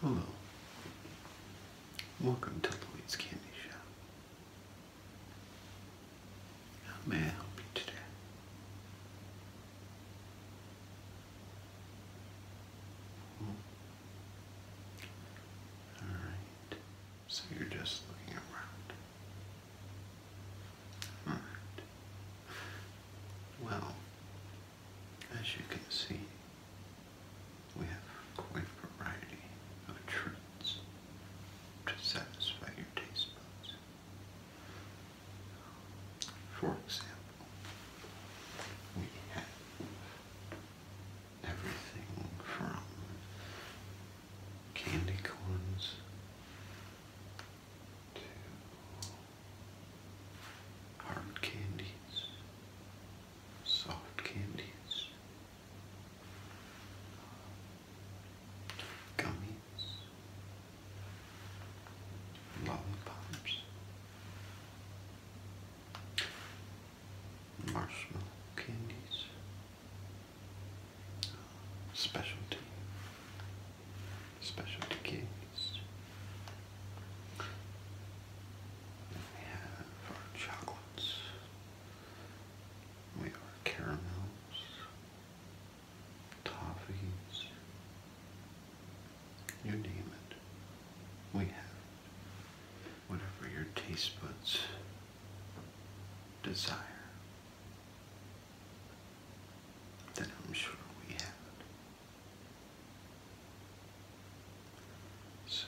Hello. Welcome to Lloyd's Candy Shop may help you today? All right. So you're just looking around. All right. Well, as you can see, we have quite a variety of treats to satisfy your taste buds. For example, we have everything from candy corns to hard candies, soft candies, gummies, lollipops, marshmallow candies, specialty, specialty candies. we have our chocolates, we are caramels, toffees, you name it. We have Whatever your taste buds desire, then I'm sure we have so,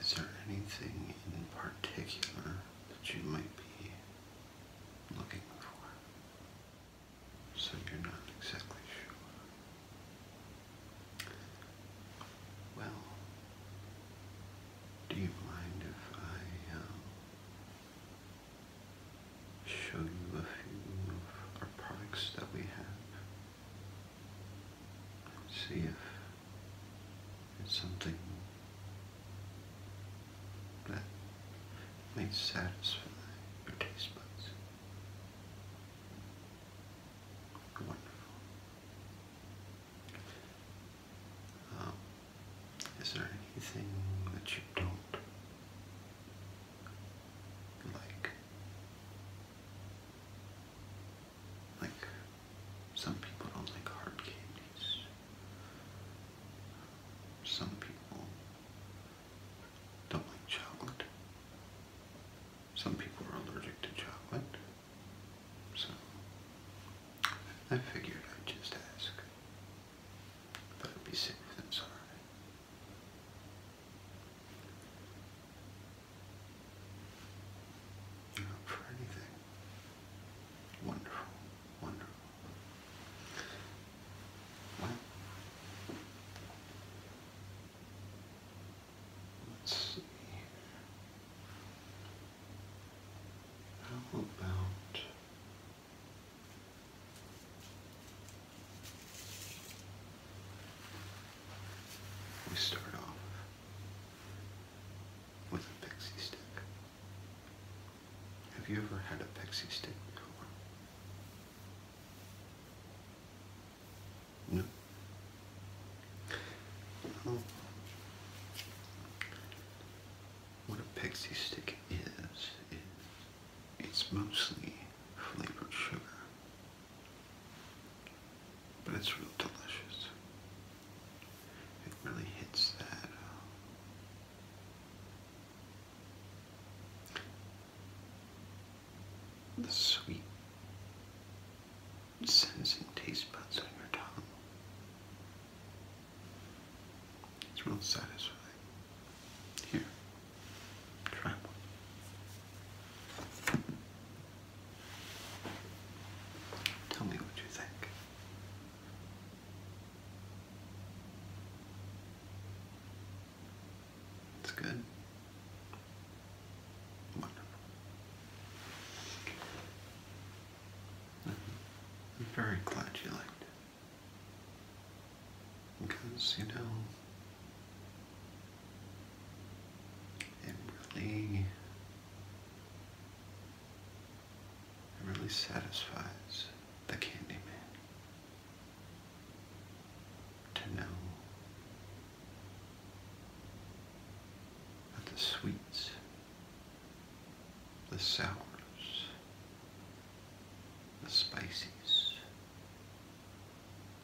is there anything in particular that you might be looking for? So you're not exactly sure. Well, do you mind if I um, show you a few of our products that we have? See if it's something that may satisfy your taste buds. Wonderful. Um, is there anything that you don't like? Like, some people don't like hard candies. Some people don't like chocolate. Some people are allergic to chocolate. So, I figured I'd just ask. that would be safe and sorry. You're up for anything. Wonderful, wonderful. let's see. How about we start off with a pixie stick. Have you ever had a pixie stick before? No. what a pixie stick is, is it's mostly flavored sugar. But it's real delicious. It really hits that. Uh, sweet sensing taste buds on your tongue. It's real satisfying. Here, try one. Tell me what you think. It's good. Wonderful. I'm very glad you liked it. Because, you know, it really, really satisfies the Candyman to know that the sweets, the sours, the spices,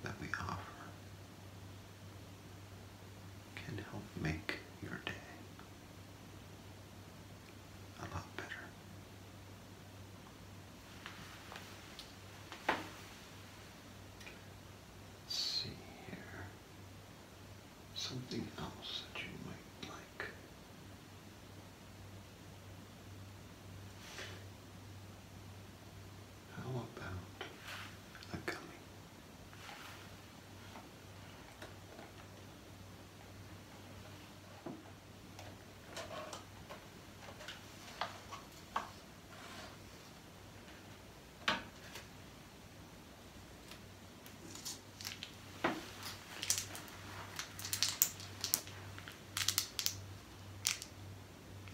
that we offer can help make your day a lot better. see here. Something else that you might like. How about a gummy?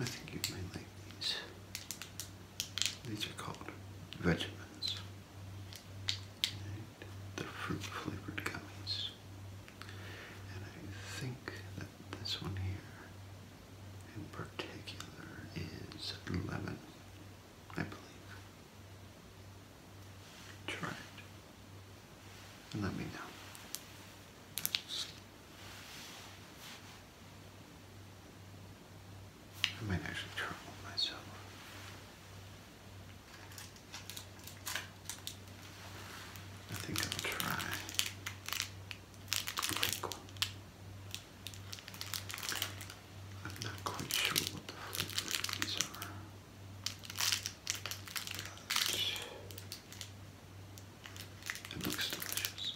I think you may like these. These are called Vegemins. they're fruit flavored gummies. And I think that this one here in particular is lemon, I believe. Try it. And let me know. I might actually trouble myself. I think I'll try Flinkle. I'm not quite sure what the Flinkles are. it looks delicious.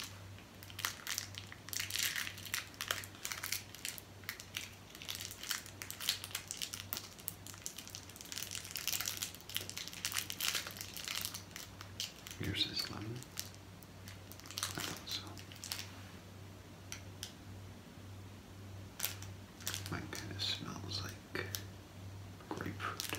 Here's his lemon. I thought so. Mine kind of smells like grapefruit.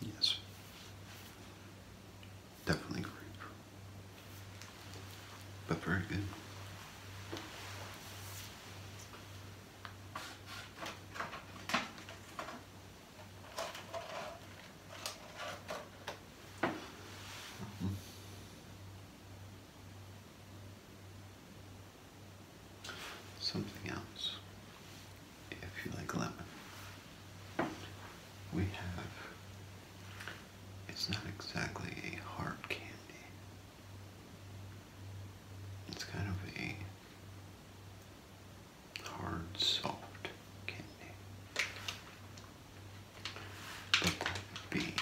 Yes. Definitely grape. But very good. -hmm. Something else, if you like lemon, we have, it's not exactly a hard candy, it's kind of a hard, soft candy. But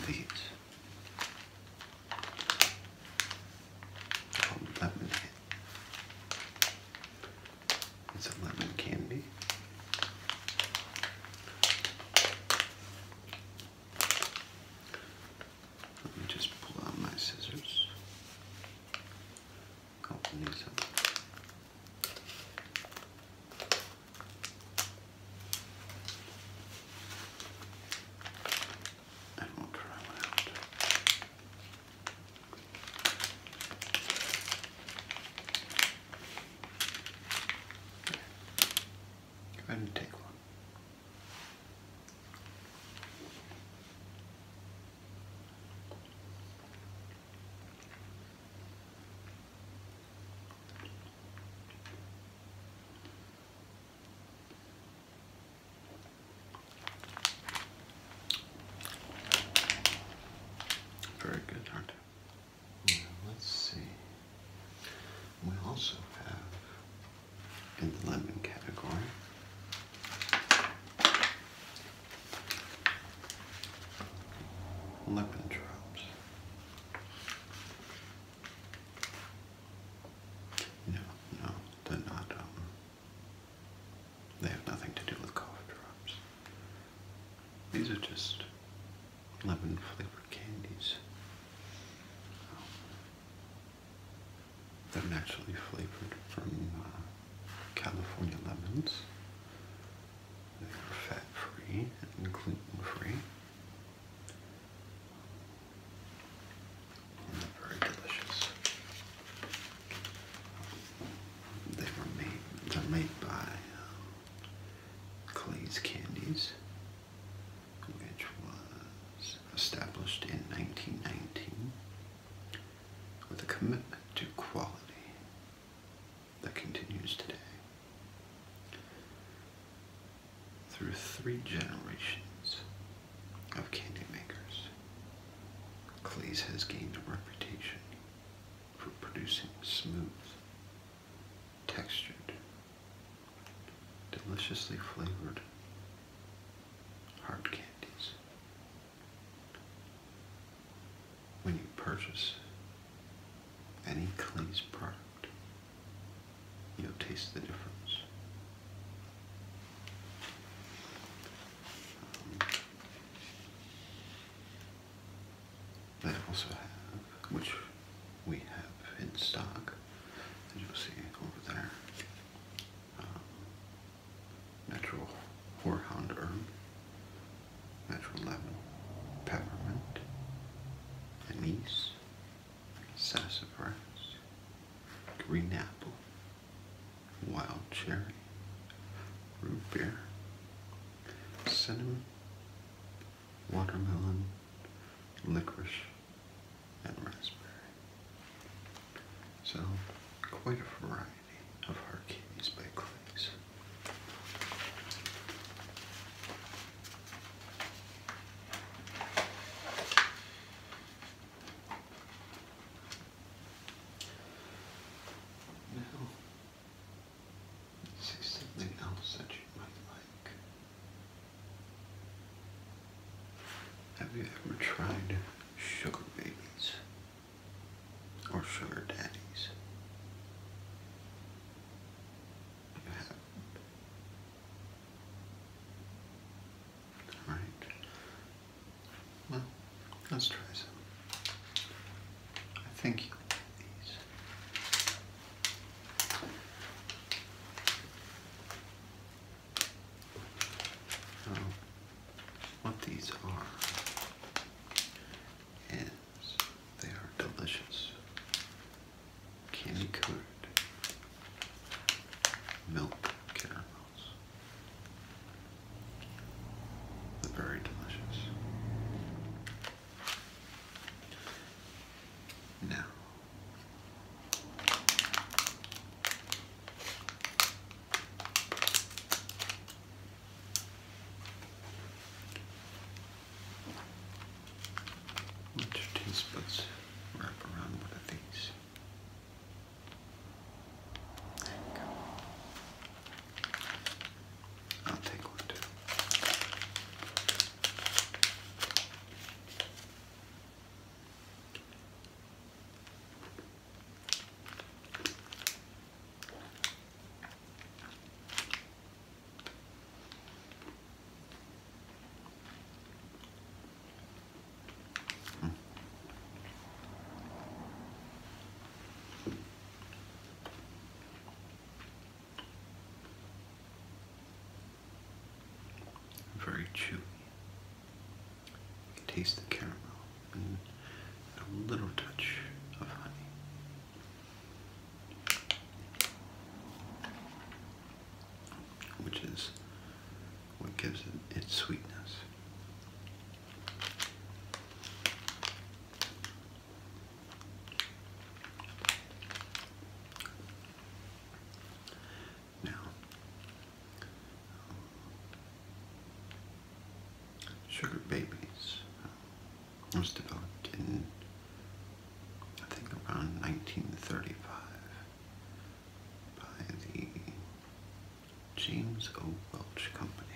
that would Called lemon It's a lemon candy. Let me just pull out my scissors. Open oh, these up. And we'll try Go ahead and take one. Very good, are let's see. We also have in the lemon category. Lemon drops. No, no, they're not. Um, they have nothing to do with cough drops. These are just lemon flavored candies. they're naturally flavored from uh, California lemons. They are fat free and gluten free. They were made. They're made by uh, Clay's Candies, which was established in 1919 with a commitment to quality that continues today through three generations of candy makers, Clay's has gained a reputation for producing smooth, textured, deliciously flavored hard candies. When you purchase any Clay's product, You'll taste the difference. Um, they also have, which we have in stock, as you'll see over there, um, natural horhound herb, natural lemon, peppermint, anise, sassafras, green apple, wild cherry, root beer, cinnamon, watermelon, licorice, and raspberry. So, quite a variety of hard candies by Clay's. Now, see something else that you might like. Have you ever tried sugar babies or sugar daddies? All right. Well, let's try some. I think you like these. So, what these are is they are delicious candy coated milk caramels. They're very delicious. Now, let your tablespoons wrap around one of these. you I'll take one too. Very chewy. taste the caramel and a little touch of honey which is what gives it its sweetness. Now, Sugar Babies uh, was developed in, I think, around 1935 by the James O. Welch Company.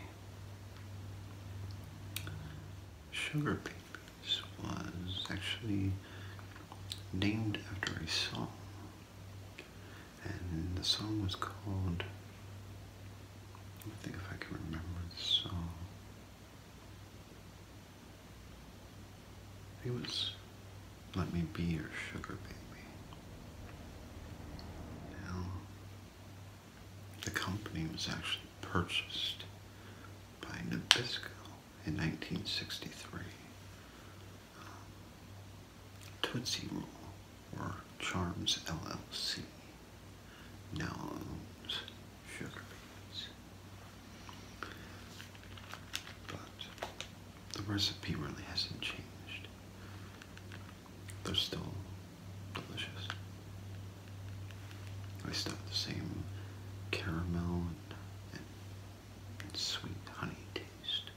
Sugar Babies was actually named after a song, and the song was called. I think if I can remember the song. He was Let Me Be Your Sugar Baby. Now, the company was actually purchased by Nabisco in 1963. Um, Tootsie Roll, or Charms LLC, now Sugar Babies. But the recipe really hasn't changed. They're still delicious. They still have the same caramel and, sweet honey taste.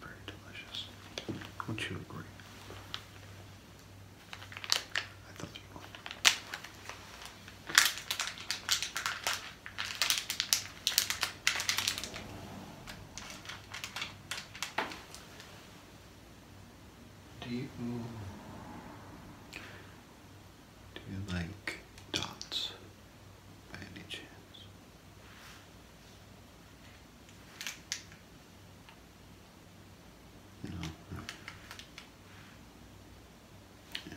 Very delicious. Wouldn't you agree? I thought you would. Do you mm, do you like dots by any chance? No. Yeah.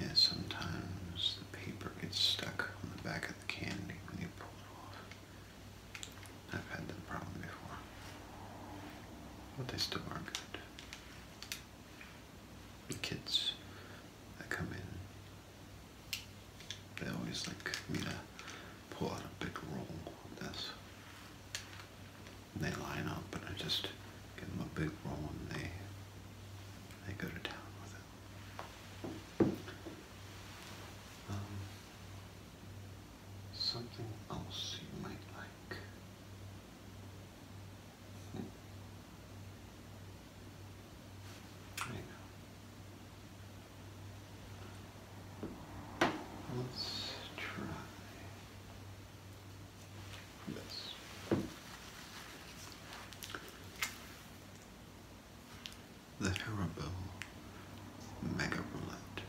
yeah, sometimes the paper gets stuck on the back of the candy when you pull it off. I've had that problem before. But they still are good. The kids that come in, they always like me to pull out a big roll of this. they line up but I just give them a big roll and they, they go to town with it. Um, something else you might like. There hmm. Let's try. The Haribo Mega Roulette.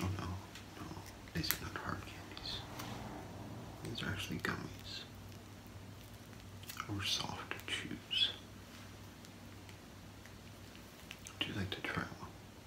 Oh no, no, these are not hard candies. These are actually gummies. Or soft chews. Would you like to try one?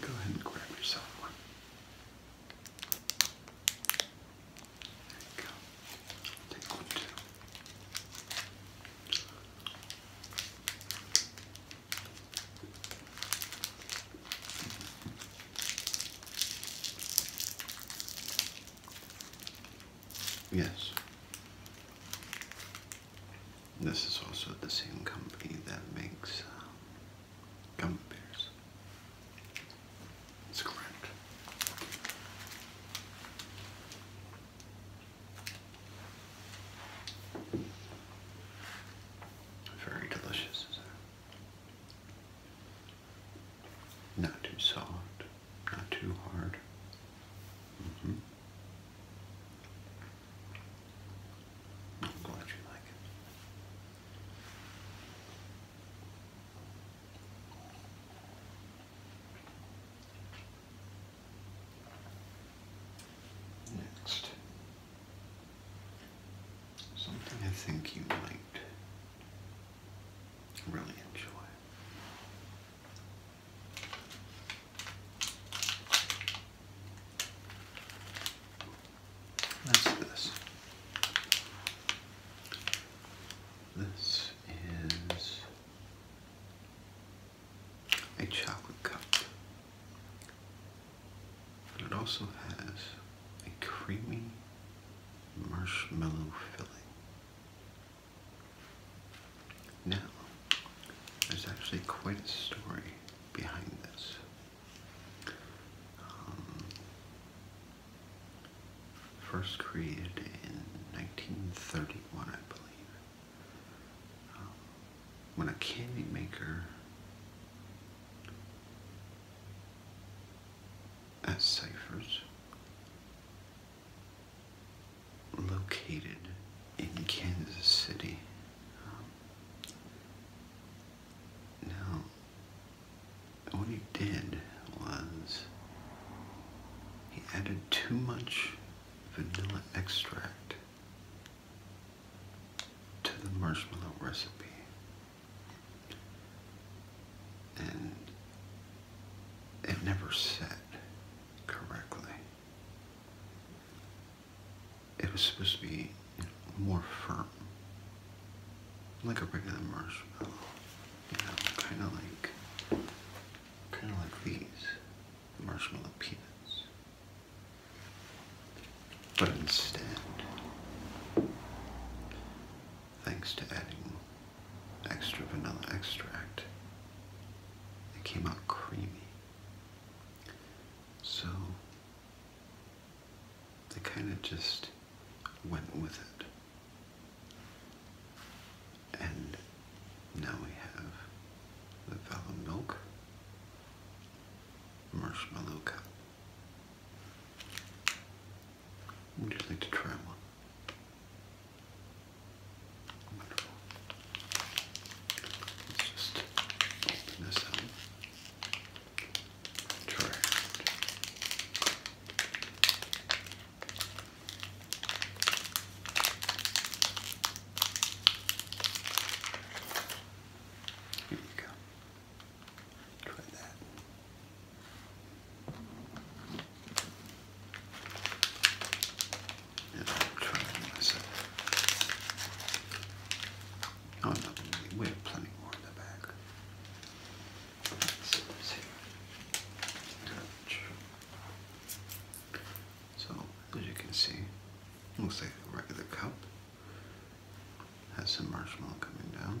Go ahead and grab yourself one. There you go. Take one Yes. This is also the same company that makes um, Gummy bears. It's correct. Very delicious, Not too soft, not too hard. Mm-hmm. I'm glad you like it. Next, something I think you might really enjoy. Let's do this. This is a chocolate cup. But it also has a creamy marshmallow filling. Now, there's actually quite a story behind this. Um, first created in 1931, I believe, um, when a candy maker at Cypher's located in Kansas City. Um, now, what he did was he added too much vanilla extract to the marshmallow recipe. And it never set correctly it was supposed to be more firm, like a regular marshmallow, you know, kind of like, kind of like these marshmallow peanuts. But instead, thanks to adding extra vanilla extract, it came out creamy. So they kind of just went with it. And now we have the Vellum Milk Marshmallow Cup. Would you like to try one? Wonderful. Let's just open up. Correct. Here you go. Try that. And I'll try myself. Oh, so, as you can see, looks like a regular cup. Has some marshmallow coming down.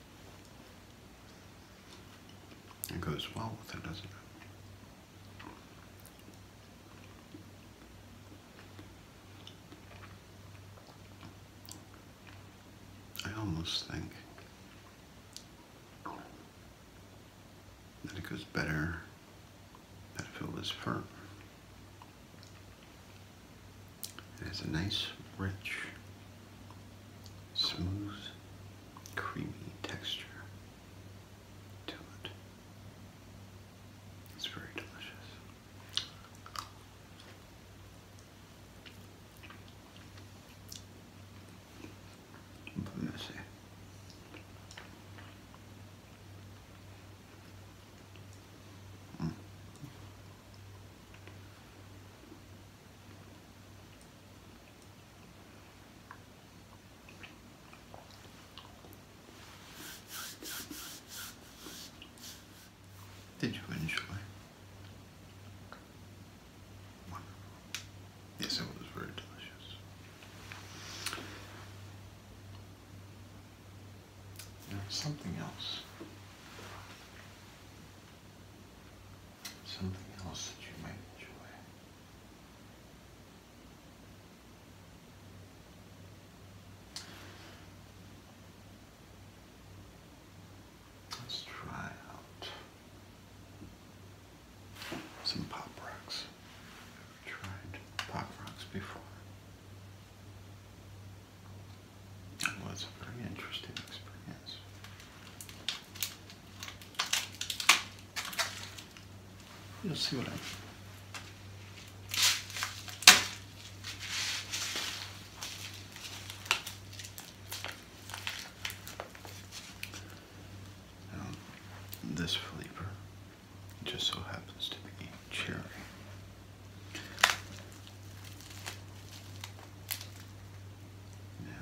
It goes well with it, doesn't it? I almost think that it goes better if it is firm. It has a nice, rich smooth, creamy texture to it. It's very delicious. But messy. Mm. Did you enjoy? Wonderful. Yes, it was very delicious. There's something else something else that you might enjoy. Let's try out some pop rocks. tried pop rocks before. It was a very interesting experience. Let's see what I mean. Um, this flavor just so happens to be cherry. Now,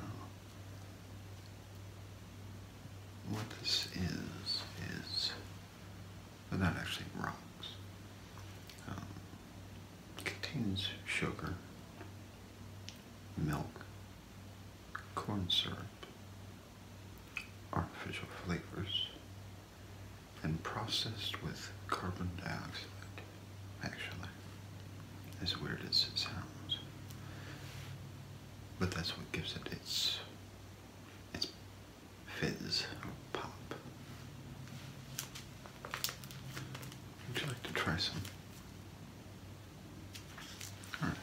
what this is, is, well that actually rocks, um, contains sugar, milk, corn syrup, artificial flavors, and processed with carbon dioxide actually, as weird as it sounds. But that's what gives it its its fizz or pop. Would you like to try some? All right.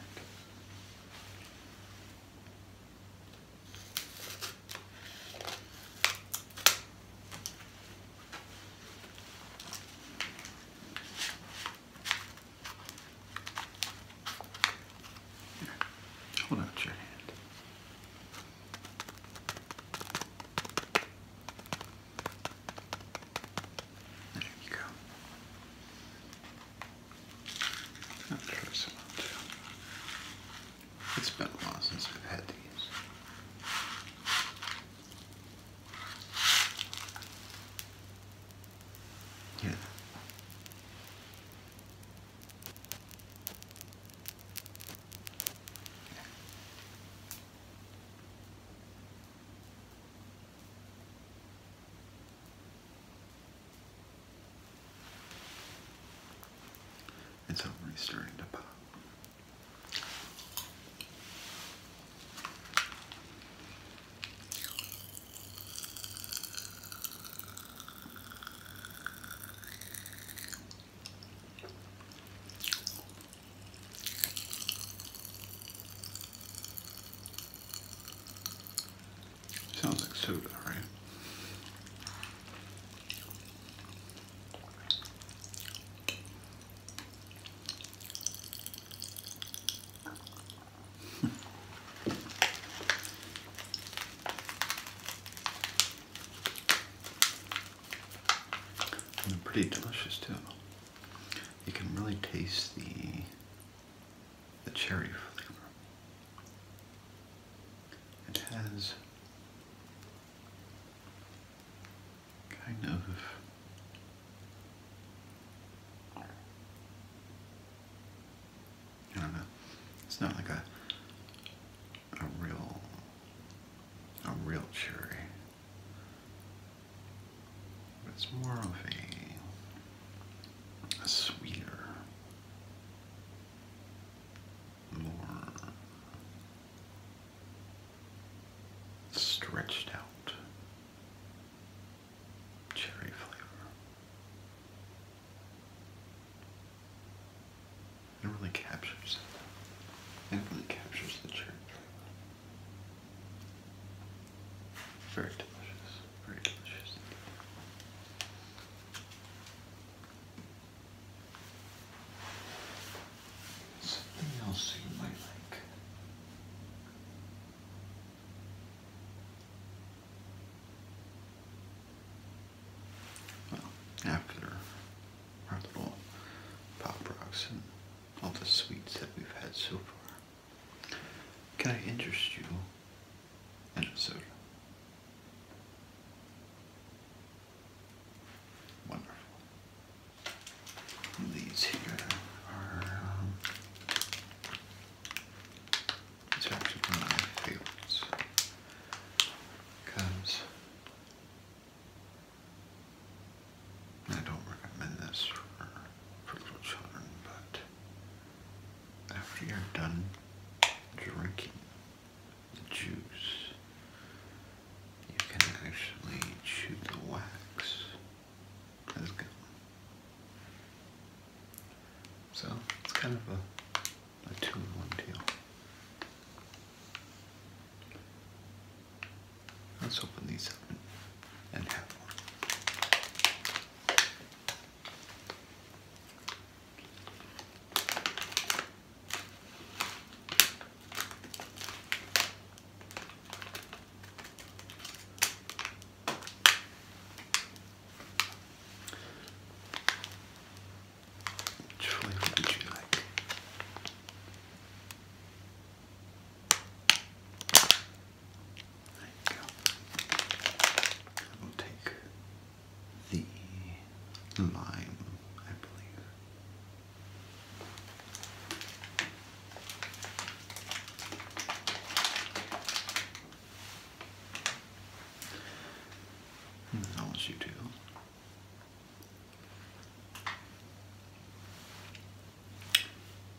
Hold out your hand. There you go. I'll try It's been a while since i have had these. Yeah. It's already starting to pop. Sounds like soda, right? and pretty delicious too. You can really taste the the cherry flavor. It has kind of I don't know. It's not like a a real a real cherry. But it's more of a a sweeter more stretched out cherry flavor. It really captures it. It really captures the cherry Very delicious. Very delicious. Something else you might like after our pop rocks and all the sweets that we've had so far, can I interest you in a soda? Wonderful. These here are, um, actually my favorites because I don't recommend this for little children, but after you're done drinking the juice, you can actually chew the wax so it's kind of a, two-in-one deal. Let's open these up and have one. Which flavor would you like? There you go. I will take the lime, I believe. Unless hmm, you do.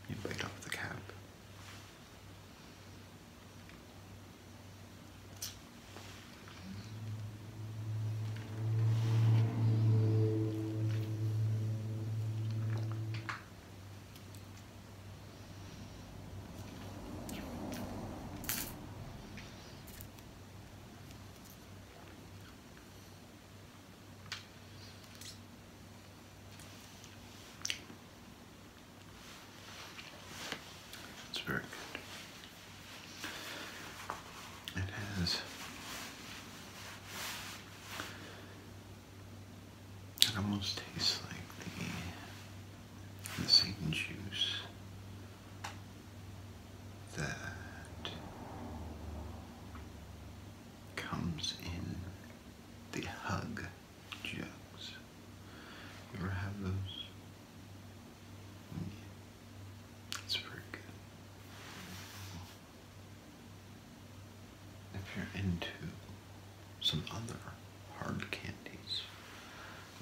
You bite off the cap. It's very good. It it almost tastes like the, the juice that comes in the hug jugs. You ever have those? Mm. It's pretty good. If you're into some other hard candies,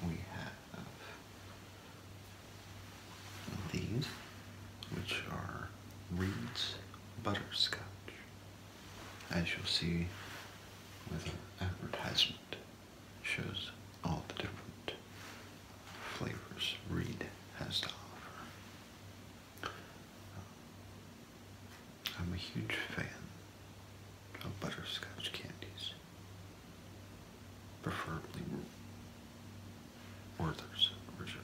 we have these, which are Reed's Butterscotch, as you'll see with an advertisement, shows all the different flavors Reed has to offer. I'm a huge fan of butterscotch candies, preferably Werther's original.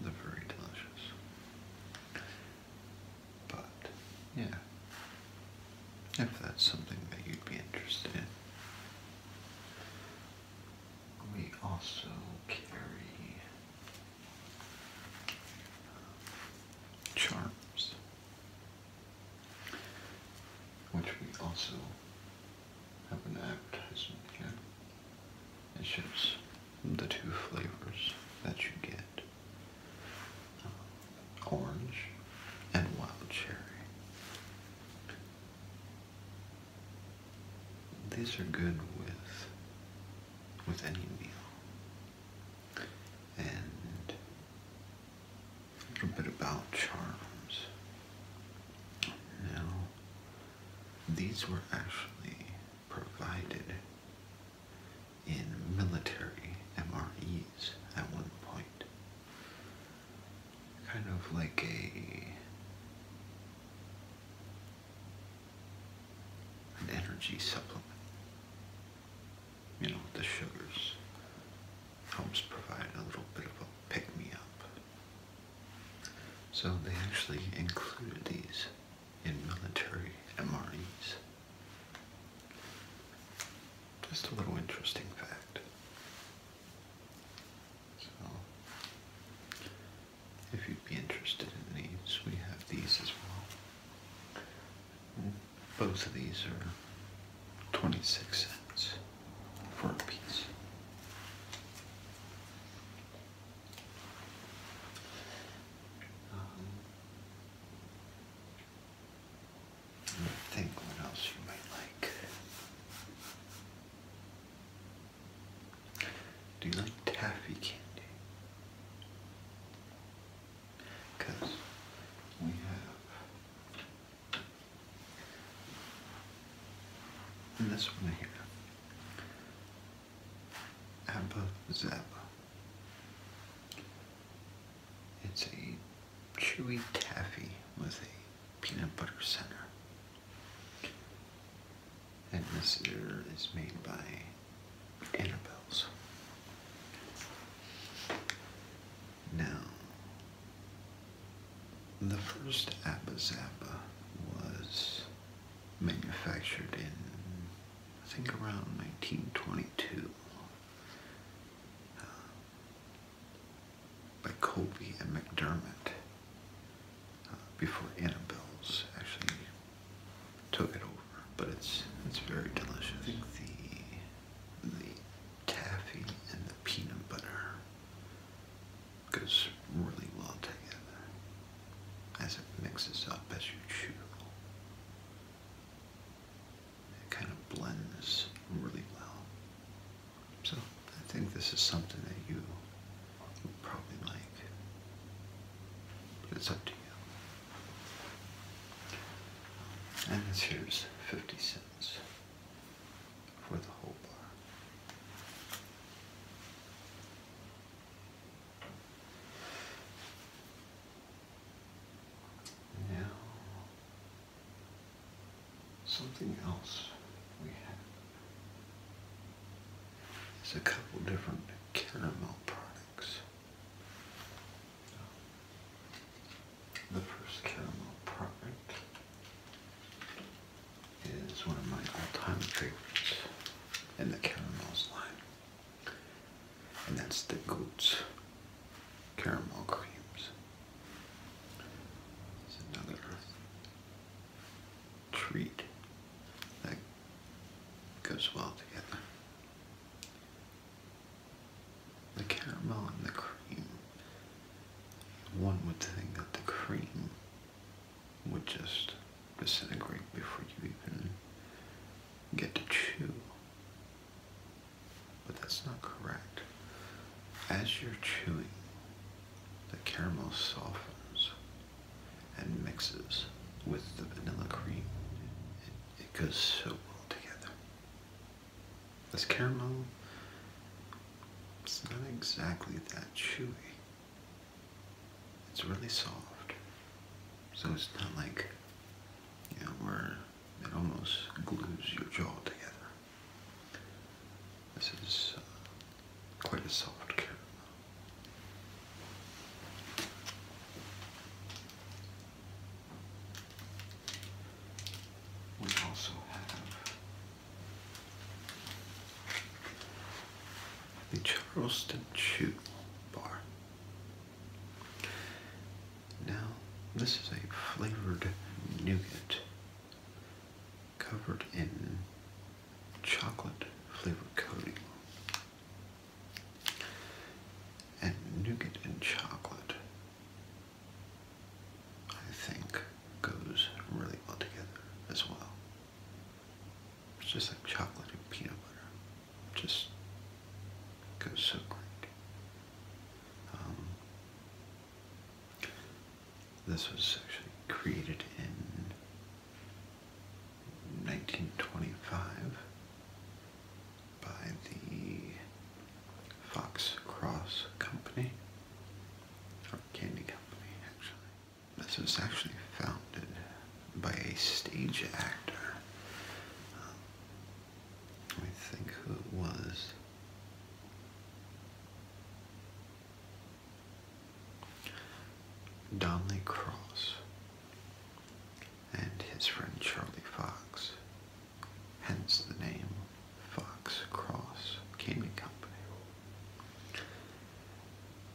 They're very delicious. But, yeah, if that's something that you'd be interested in, we also carry charms, which we also have an advertisement here. It shows the two flavors that you get uh, orange and wild cherry these are good with with any meal. And a little bit about charms. Now, these were actually provided in military MREs at one point. Kind of like a an energy supplement. You know, the sugars helps provide a little bit of a pick-me-up. So they actually included these in military MREs. Just a little interesting fact. So, if you'd be interested in these, we have these as well. Both of these are 26 cents for a piece. Um, I think what else you might like. Do you like taffy candy? we have and this one here. Abba Zaba. It's a chewy taffy with a peanut butter center. And this mirror is made by Annabelle's. Now, the first Abba Zappa was manufactured in, I think, around 1922 uh, by Colby and McDermott. Uh, before Annabelle's actually took it over. But it's it's very delicious. I think the the taffy and the peanut butter goes really well together as it mixes up as you chew. It kind of blends really well. So I think this is something that you probably like. But it's up to you. And this here's 50 cents for the whole bar. Now, something else we have it's a couple different caramel products. The first caramel product is one of my all-time favorites in the caramel line, and that's the Goats Caramel Creams. It's another treat that goes well together. The caramel and the cream. One would think that the cream would just disintegrate before you even get to chew. But that's not correct. As you're chewing, the caramel softens and mixes with the vanilla cream. It, goes so well together. This caramel, it's not exactly that chewy. It's really soft. So it's not like, where it almost glues your jaw together. This is uh, quite a soft caramel. We also have the Charleston Chew bar. Now, this is a flavored nougat covered in chocolate flavor coating and nougat and chocolate I think goes really well together as well. It's just like chocolate and peanut butter. Just goes so great. Um, this was actually created in 1925 by the Fox Cross Company, Candy Company actually. This was actually founded by a stage actor. Um, let me think who it was. Donnelly Cross and his friend Charlie Fox, hence the name Fox Cross Candy Company.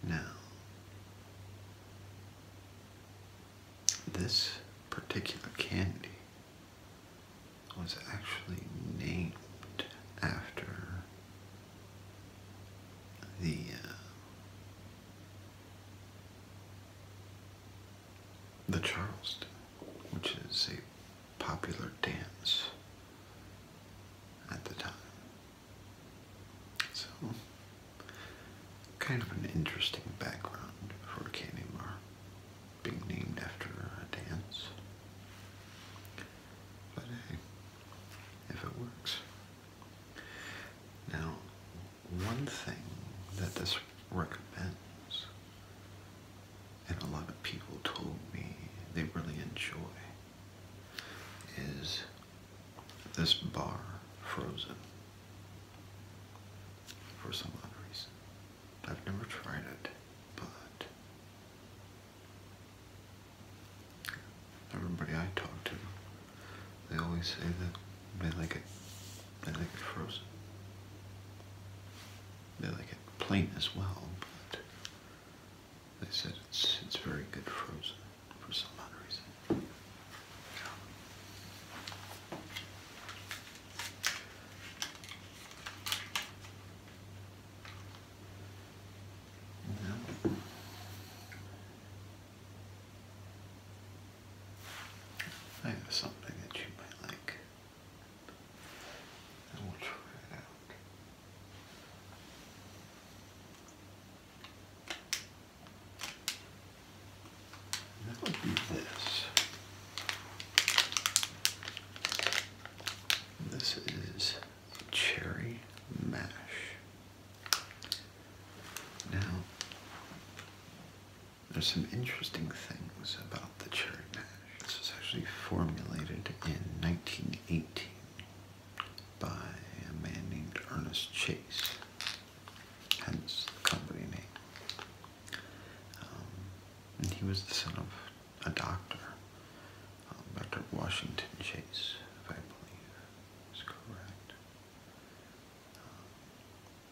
Now, this particular candy was actually named after the uh, the Charleston, which is a popular dance at the time. So, kind of an interesting background for a candy bar being named after a dance. But hey, if it works, now, one thing that this recommends, and a lot of people told me they really enjoy, is this bar frozen for some other reason. I've never tried it, but Everybody I talk to, they always say that they like it. They like it frozen. They like it plain as well, but they said it's it's very good frozen for some odd reason. No. something that you might like. I will try it out. That would be this. This is cherry mash. Now, there's some interesting things about the cherry mash. This was actually formulated in 1918 by a man named Ernest Chase, hence the company name. Um, and he was the son of a doctor, um, Dr. Washington Chase, if I believe is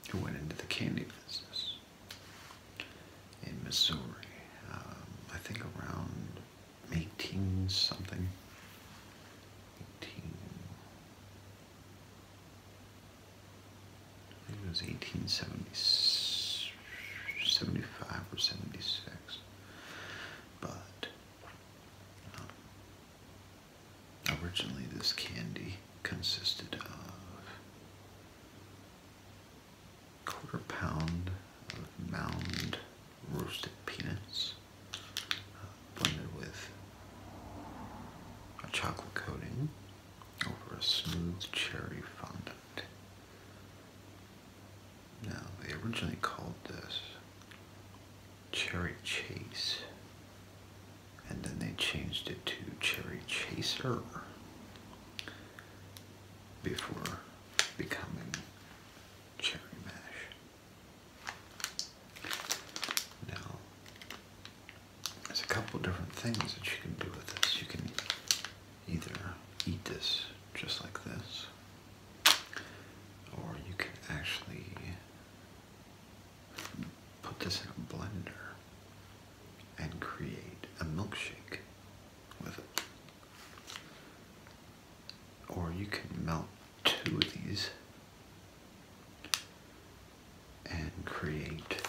who um, went into the candy business in Missouri, um, I think around 18 something. I think it was 1875 or 76. But um, originally, this candy consisted of quarter pound of mound roasted peanuts uh, blended with a chocolate coating over a smooth cherry fondant. Now, they originally called this Cherry Chase, and then they changed it to Cherry Chaser before becoming Cherry Mash. Now, there's a couple different things that you can do with this. You can either eat this just like this, or you can actually put this in a blender and create a milkshake with it. Or you can melt two of these and create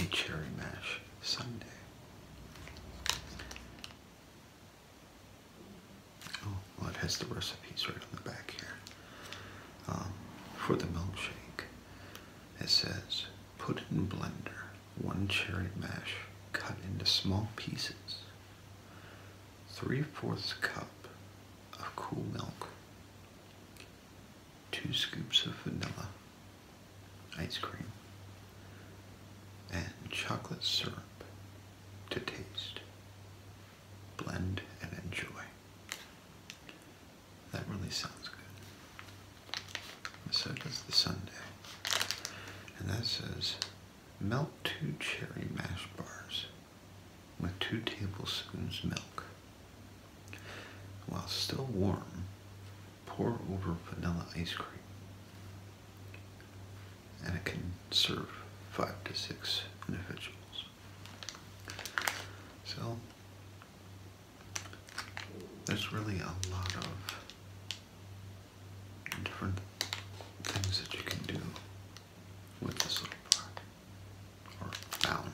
a cherry mash sundae. Oh, well, it has the recipes right on the back here. Um, for the milkshake, it says put in blender one cherry mash cut into small pieces, three fourths cup of cool milk, two scoops of vanilla ice cream, and chocolate syrup to taste. Blend and enjoy. That really sounds good. So does the sundae. And that says melt two cherry mash bars with two tablespoons milk. While still warm, pour over vanilla ice cream and it can serve five to six individuals. So there's really a lot of different things that you can do with this little bar. Or bound,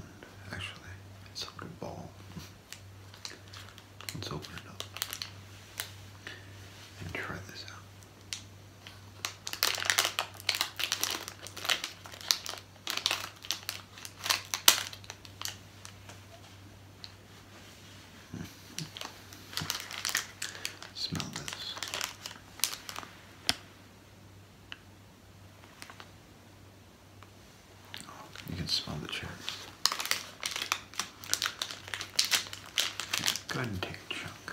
actually. It's a little ball. Let's open it up and try this out. Smell this. you can smell the cherries. Go take chunk.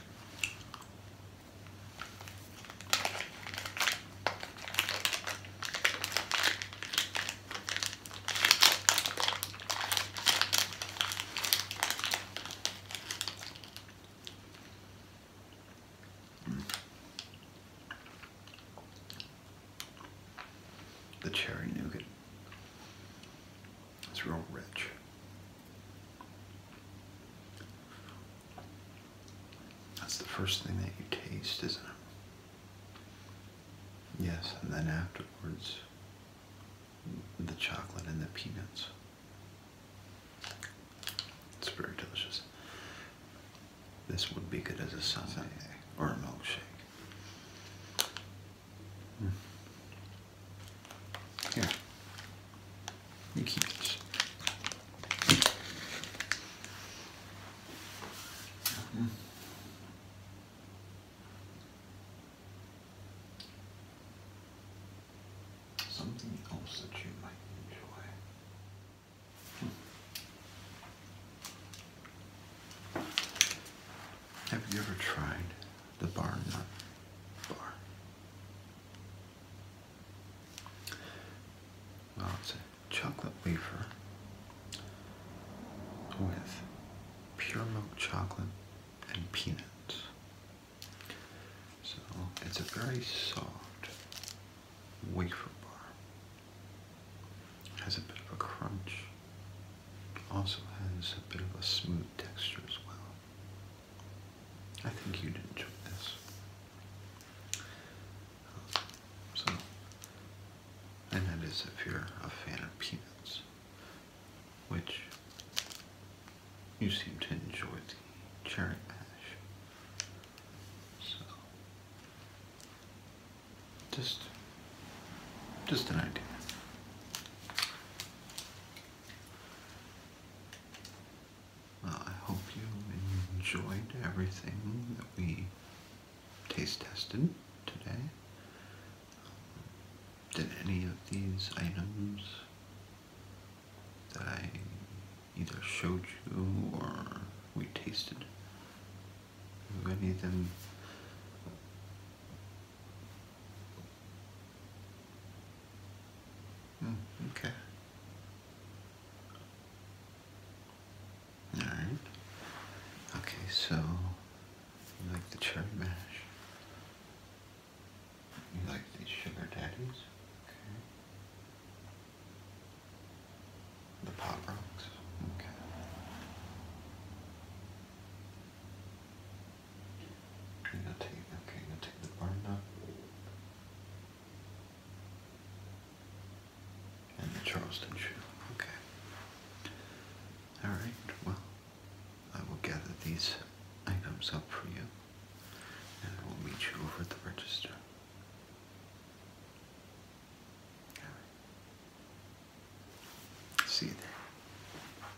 The cherry nougat it's real rich. That's the first thing that you taste, isn't it? Yes, and then afterwards, the chocolate and the peanuts. It's very delicious. This would be good as a sundae or a milkshake. Hmm. Here. You keep this. Hmm. Something else that you might enjoy. Hmm. Have you ever tried the bar nut bar? Well, it's chocolate wafer with pure milk chocolate and peanuts. So it's a very soft wafer bar. It has a bit of a crunch. also has a bit of a smooth texture as well. I think you'd enjoy this. Um, so, and that is if you're a fan of peanuts, which you seem to enjoy the cherry mash. So, just, just an idea. I hope you enjoyed everything that we taste tested today. Um, did any of these items that I either showed you or we tasted, any of them Hmm, okay. All right. Okay, so you like the cherry mash. You like these sugar daddies. Okay. The pop rocks. Okay. Okay, now take okay, now take the bar nut and the Charleston shoe. Okay. Alright, well, I will gather these items up for you and we will meet you over at the register. See you there.